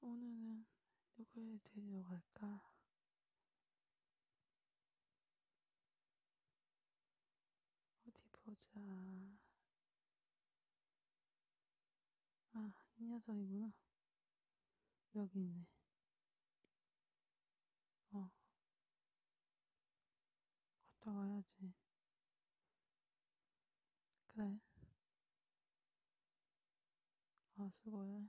오늘은 누구를 데리러 갈까? 어디 보자. 아, 이 녀석이구나. 여기 있네. 어. 갔다 가야지. 그래. 아, 수고해.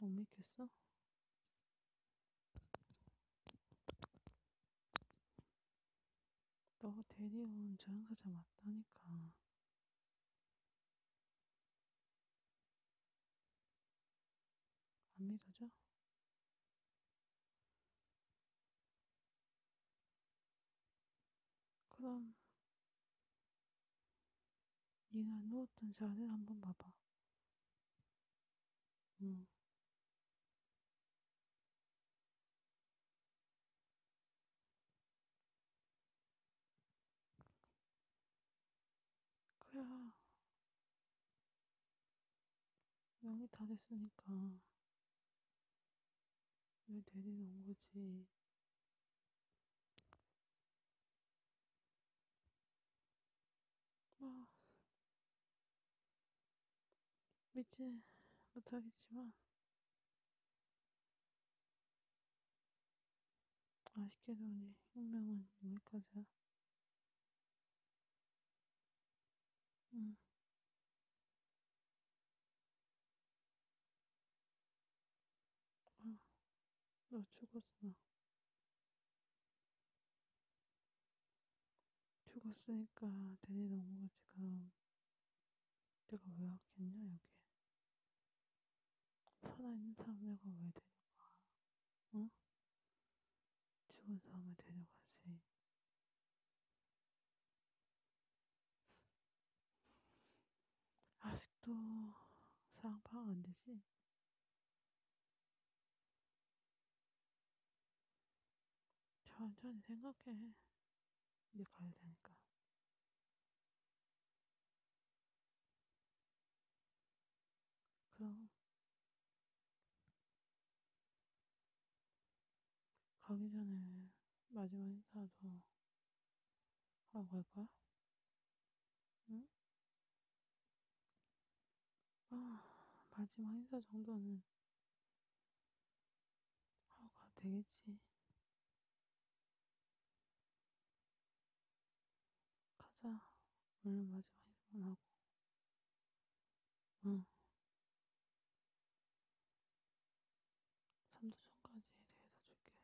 못 믿겠어? 너 데리온 저양사자 맞다니까. 안 믿어져? 그럼 네가 누웠던 자리를 한번 봐봐. 응. 그래. 명이 다 됐으니까 왜 데리러 온 거지? 뭐, 믿지 못하겠지만, 아쉽게도 우리 운명은 여기까지야. 응. 음. 아, 나 죽었어. 죽었으니까 데리러 온 거지, 그럼. 내가 왜 왔겠냐, 여기. 살아있는 사람 내가 왜 데려가? 응? 죽은 사람을 데려가지. 아직도 상황 파악 안 되지? 천천히 생각해. 이제 가야 되니까. 그럼. 가기 전에 마지막 인사도 하고 갈 거야? 응? 아, 마지막 인사 정도는 하고 가도 되겠지. 가자. 오늘 마지막 인사만 하고. 응. 3도전까지 데려다 줄게.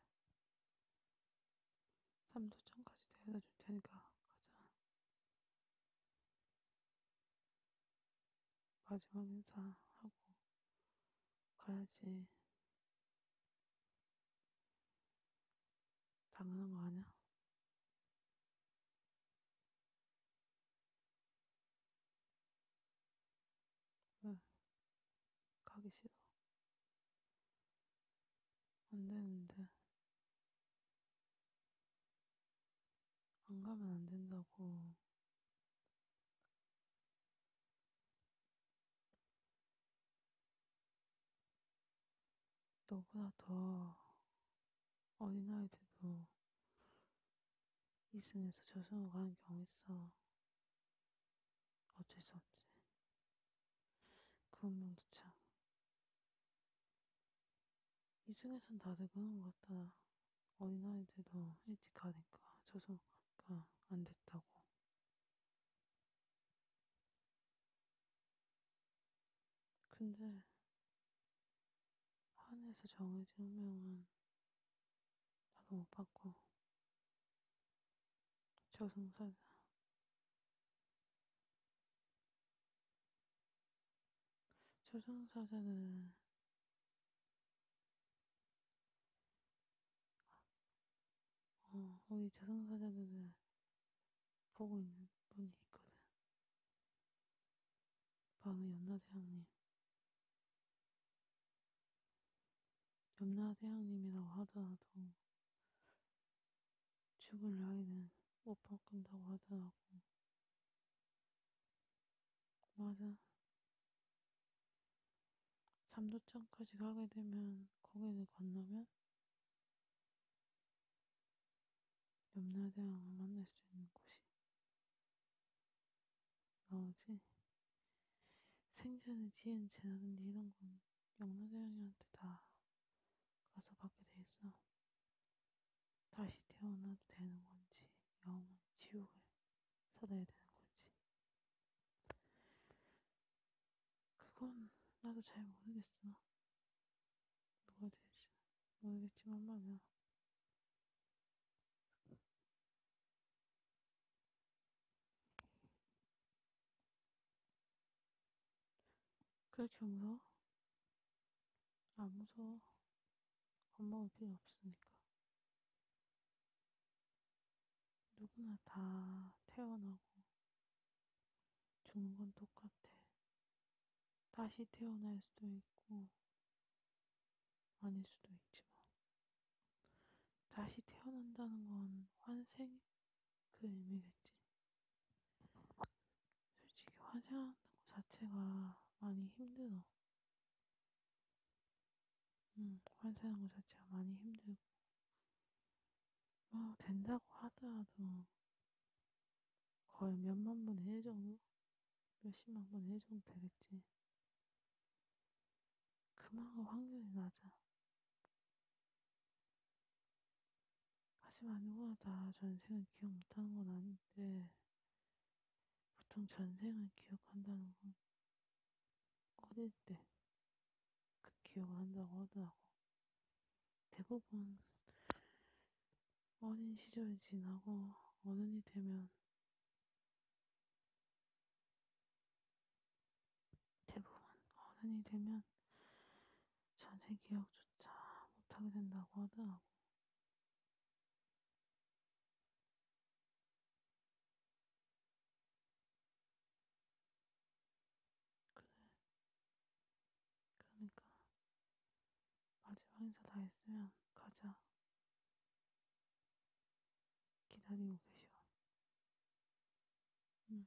3도전까지 데려다 줄 테니까 가자. 마지막 인사하고 가야지. 당연한 거 아니야? 응. 가기 싫어. 안 되는데. 안 가면 안 된다고. 너보다 더 어린 아이들도 2승에서 저승으로 가는 경우 있어. 어쩔 수 없지. 그 운명도 참. 2승에선 다들 그런 것 같다. 어린아이들도 일찍 가니까 저승으로 가니까 안 됐다고. 근데 한에서 정해진 한 명은 나도 못 받고 저승사자 저승사자는 어, 우리 저승사자들을 보고 있는 분이 있거든 바로 연나대왕님 염라대왕님이라고 하더라도 죽을 나이는 못 바꾼다고 하더라고. 맞아. 잠도천까지 가게 되면 거기를 건너면 염라대왕을 만날 수 있는 곳이 나오지? 생전에 지은 재산인데 이런 건 영로대왕이한테 다 가서 받게 돼 있어. 다시 태어나도 되는 건지 영원 지옥을 살아야 되는 건지 그건 나도 잘 모르겠어. 누가 될지 모르겠지만 말이야. 그렇게 무서워? 안 아, 무서워. 겁 먹을 필요 없으니까. 누구나 다 태어나고 죽는 건 똑같아. 다시 태어날 수도 있고, 아닐 수도 있지만 다시 태어난다는 건 환생 그 의미겠지. 솔직히 환생하는 것 자체가 많이 힘들어. 응, 음, 환생하는 것 자체가 많이 힘들고 뭐 된다고 하더라도 거의 몇만 분의 일 정도? 몇십만 번 해줘도 되겠지. 그만큼 확률이 낮아. 하지만 누구나 다 전생을 기억 못하는 건 아닌데, 보통 전생을 기억한다는 건 어릴 때 그 기억을 한다고 하더라고. 대부분 어린 시절이 지나고 어른이 되면 대부분 어른이 되면 전세 기억조차 못하게 된다고 하더라고. 그래. 그러니까 마지막 인사 다 했으면 가자. 기다리고 계셔. 응.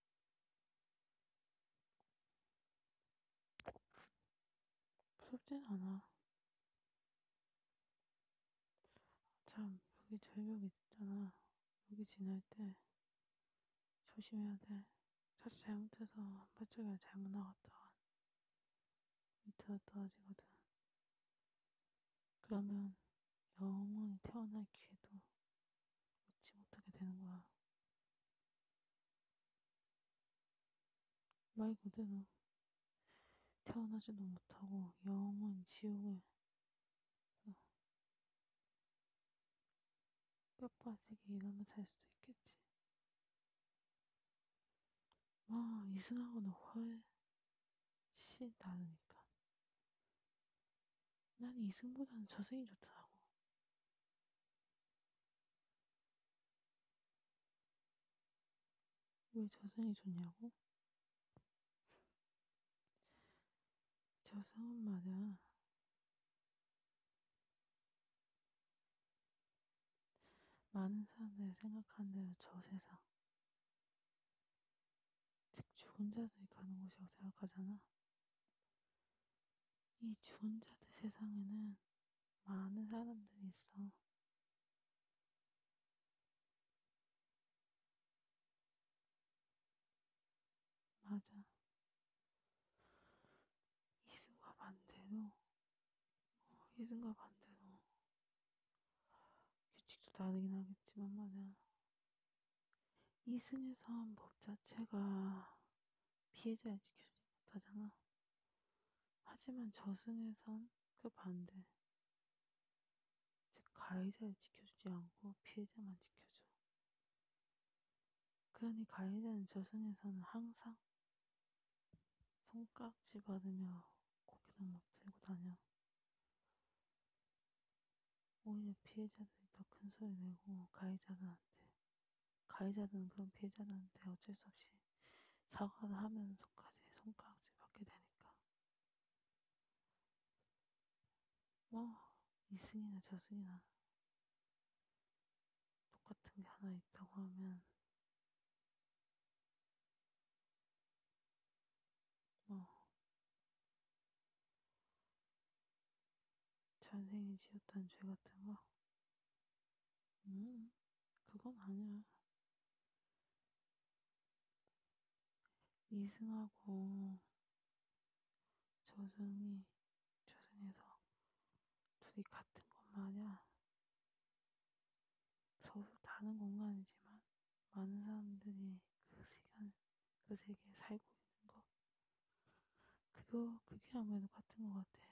무섭진 않아. 참, 여기 절벽 있잖아. 여기 지날 때 조심해야 돼. 사실 잘못해서 한 발짝이라 잘못 나갔다 밑으로 떨어지거든. 그러면 영원히 태어날 기회도 믿지 못하게 되는 거야. 말 그대로 태어나지도 못하고 영원 지옥을 뼈 빠지게 일하며 잘 수도 있겠지. 와, 이승하고는 훨씬 다르니까. 난 이승보다는 저승이 좋더라고. 왜 저승이 좋냐고? 저승은 말이야. 많은 사람들이 생각하는 대로 저 세상. 즉, 죽은 자들이 가는 곳이라고 생각하잖아. 이 좋은 자들 세상에는 많은 사람들이 있어. 맞아. 이승과 반대로, 어, 이승과 반대로 규칙도 다르긴 하겠지만 말이야. 이승에 서한 법 자체가 피해자를 지켜주지 못하잖아. 하지만 저승에선 그 반대. 즉, 가해자를 지켜주지 않고 피해자만 지켜줘. 그러니 가해자는 저승에서는 항상 손깍지 받으며 고개덕목 들고 다녀. 오히려 피해자들이 더 큰 소리 내고 가해자들한테 가해자들은 그런 피해자들한테 어쩔 수 없이 사과를 하면서까지 손가락질 받게 되니까 뭐 이승이나 저승이나 똑같은 게 하나 있다고 하면 뭐 잘생이 지었다는 죄 같은 거? 음, 그건 아니야. 이승하고 저승이 저승에서 둘이 같은 것 마냥 서로 다른 공간이지만 많은 사람들이 그 시간 그 세계에 살고 있는 거. 그거, 그게 아무래도 같은 것 같아.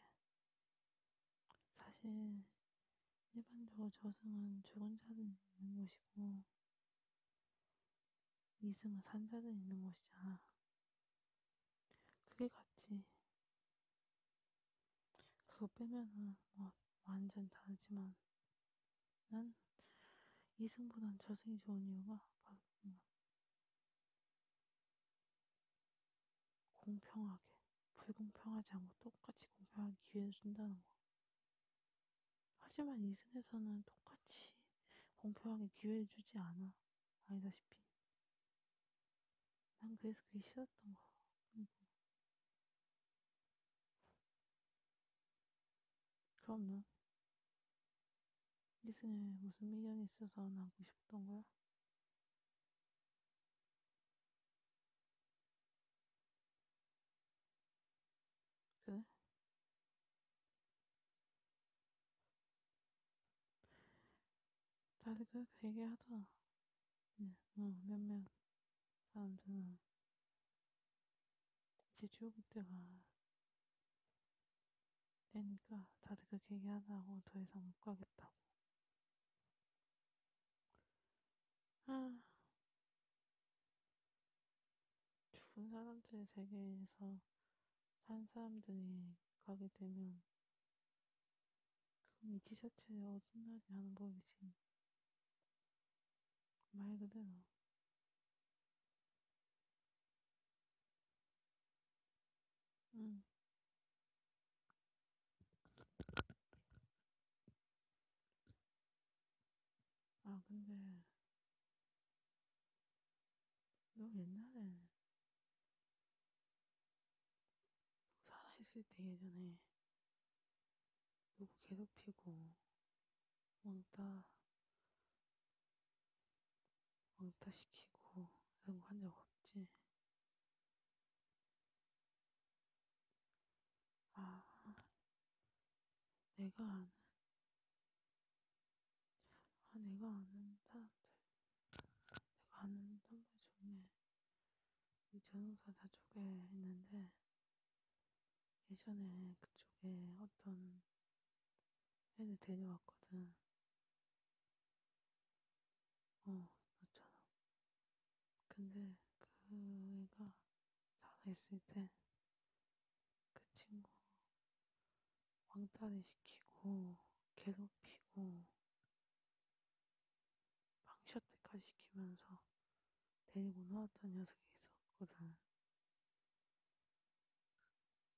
사실, 일반적으로 저승은 죽은 자들 있는 곳이고, 이승은 산 자들 있는 곳이잖아. 그게 같지. 그거 빼면은, 뭐, 완전 다르지만, 난 이승보단 자승이 좋은 이유가 바로 공평하게 불공평하지 않고 똑같이 공평한 기회를 준다는 거. 하지만 이승에서는 똑같이 공평하게 기회를 주지 않아. 알다시피. 난 그래서 그게 싫었던 거야. 그리고 그럼요. 이승에 무슨 미련이 있어서 안 하고 싶던 거야? 그래? 다들 그렇게 얘기하더라. 응, 네, 어, 뭐, 몇몇 사람들은 이제 중국 때가 되니까 다들 그렇게 얘기하다고 더 이상 못 가겠다고. 아. 죽은 사람들의 세계에서 산 사람들이 가게 되면 그럼 이 티셔츠에 어떤 날이 하는 법이지. 말 그대로 음. 아, 근데 너 옛날에 살아있을 때 예전에 누구 괴롭히고 왕따 왕따시키고 이런 거한적 없지? 아 내가 아는 아 내가 아는 사람들 내가 아는 선배 중에 이 전용사 다쪽에 있는데 예전에 그쪽에 어떤 애를 데려왔거든. 어, 맞잖아. 근데 그 애가 살아있을 때 그 친구 왕따를 시키고 괴롭히고 방셔때까지 시키면서 데리고 나왔던 녀석이 있었거든.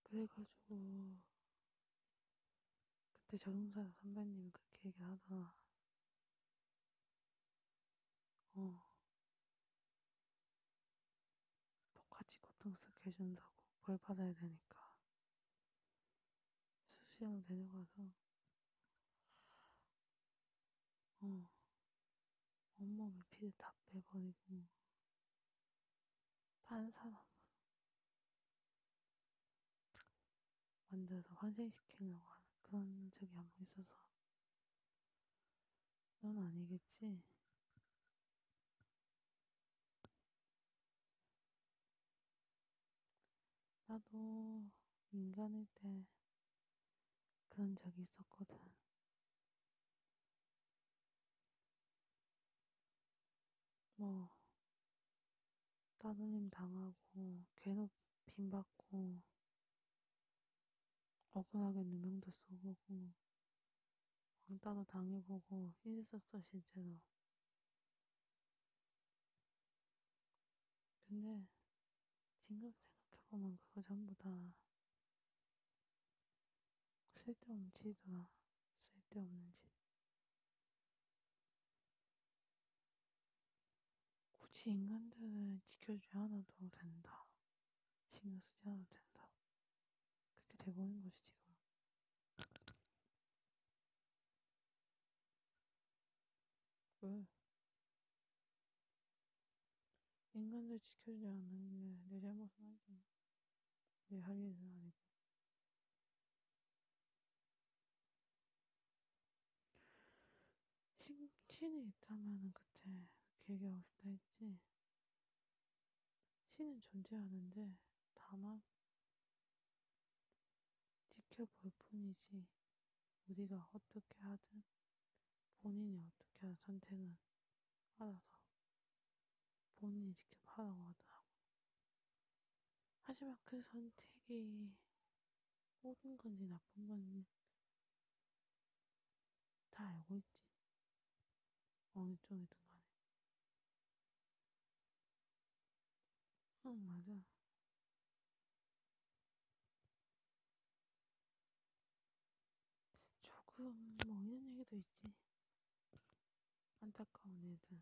그래가지고 그때 자동사 선배님이 그렇게 얘기를 하더라. 어. 똑같이 고통 쓰게 해준다고 벌 받아야 되니까 수시로 데려가서 어, 온몸에 피를 다 빼버리고, 딴 사람으로 만들어서 환생시키려고 하는 그런 적이 한번 있어서, 넌 아니겠지? 나도 인간일 때 그런 적이 있었거든. 뭐, 따돌림 당하고, 괴롭힘 받고, 억울하게 누명도 써보고, 왕따도 당해보고, 이랬었어, 실제로. 근데, 지금 생각해보면 그거 전부 다 쓸데없는 짓이더라. 쓸데없는 짓. 굳이 인간들을 지켜주지 않아도 된다. 신경 쓰지 않아도 된다. 그렇게 돼버린 거지, 지금. 왜? 인간들 지켜주지 않으면 내 잘못은 아니잖아. 내할 일은 아니고. 신, 신이 있다면은 그때 그 얘기하고 싶다 했지. 신은 존재하는데 다만 지켜볼 뿐이지 우리가 어떻게 하든 본인이 어떻게 하든 선택은 알아서 본인이 직접 하라고 하더라고. 하지만 그 선택이 옳은 건지 나쁜 건지 다 알고 있지. 어느 쪽이든 간에. 응, 맞아. 조금 뭐 이런 얘기도 있지. 안타까운 애들.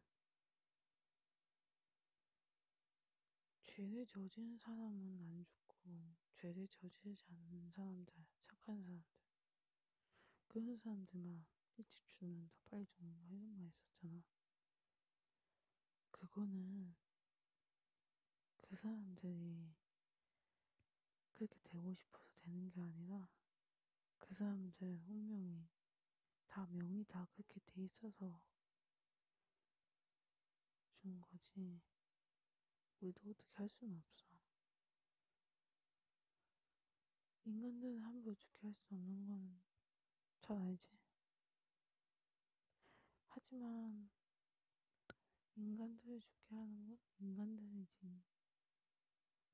죄를 저지른 사람은 안 죽고 죄를 저지르지 않는 사람들, 착한 사람들. 그런 사람들만 일찍 죽는다, 빨리 죽는다 이런 말 있었잖아. 그거는 그 사람들이 그렇게 되고 싶어서 되는 게 아니라 그 사람들 운명이 다 명이 다 그렇게 돼 있어서 준 거지. 우리도 어떻게 할 수는 없어. 인간들은 함부로 죽게 할 수 없는 건잘 알지. 하지만 인간들을 죽게 하는 건 인간들이지.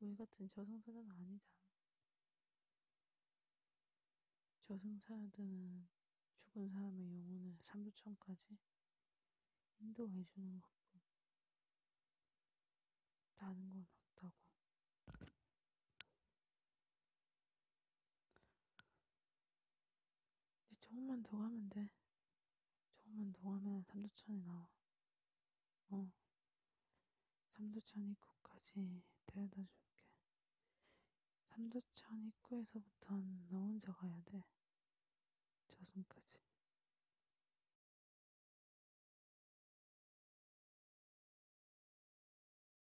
우리 같은 저승사자는 아니잖아. 저승사자들은 죽은 사람의 영혼을 삼두천까지 인도해주는 것뿐. 나는 건 없다고. 이제 조금만 더 가면 돼. 조금만 더 가면 삼두천이 나와. 어. 삼두천 입구까지 데려다 줄게. 삼두천 입구에서부턴 너 혼자 가야 돼. 저승까지.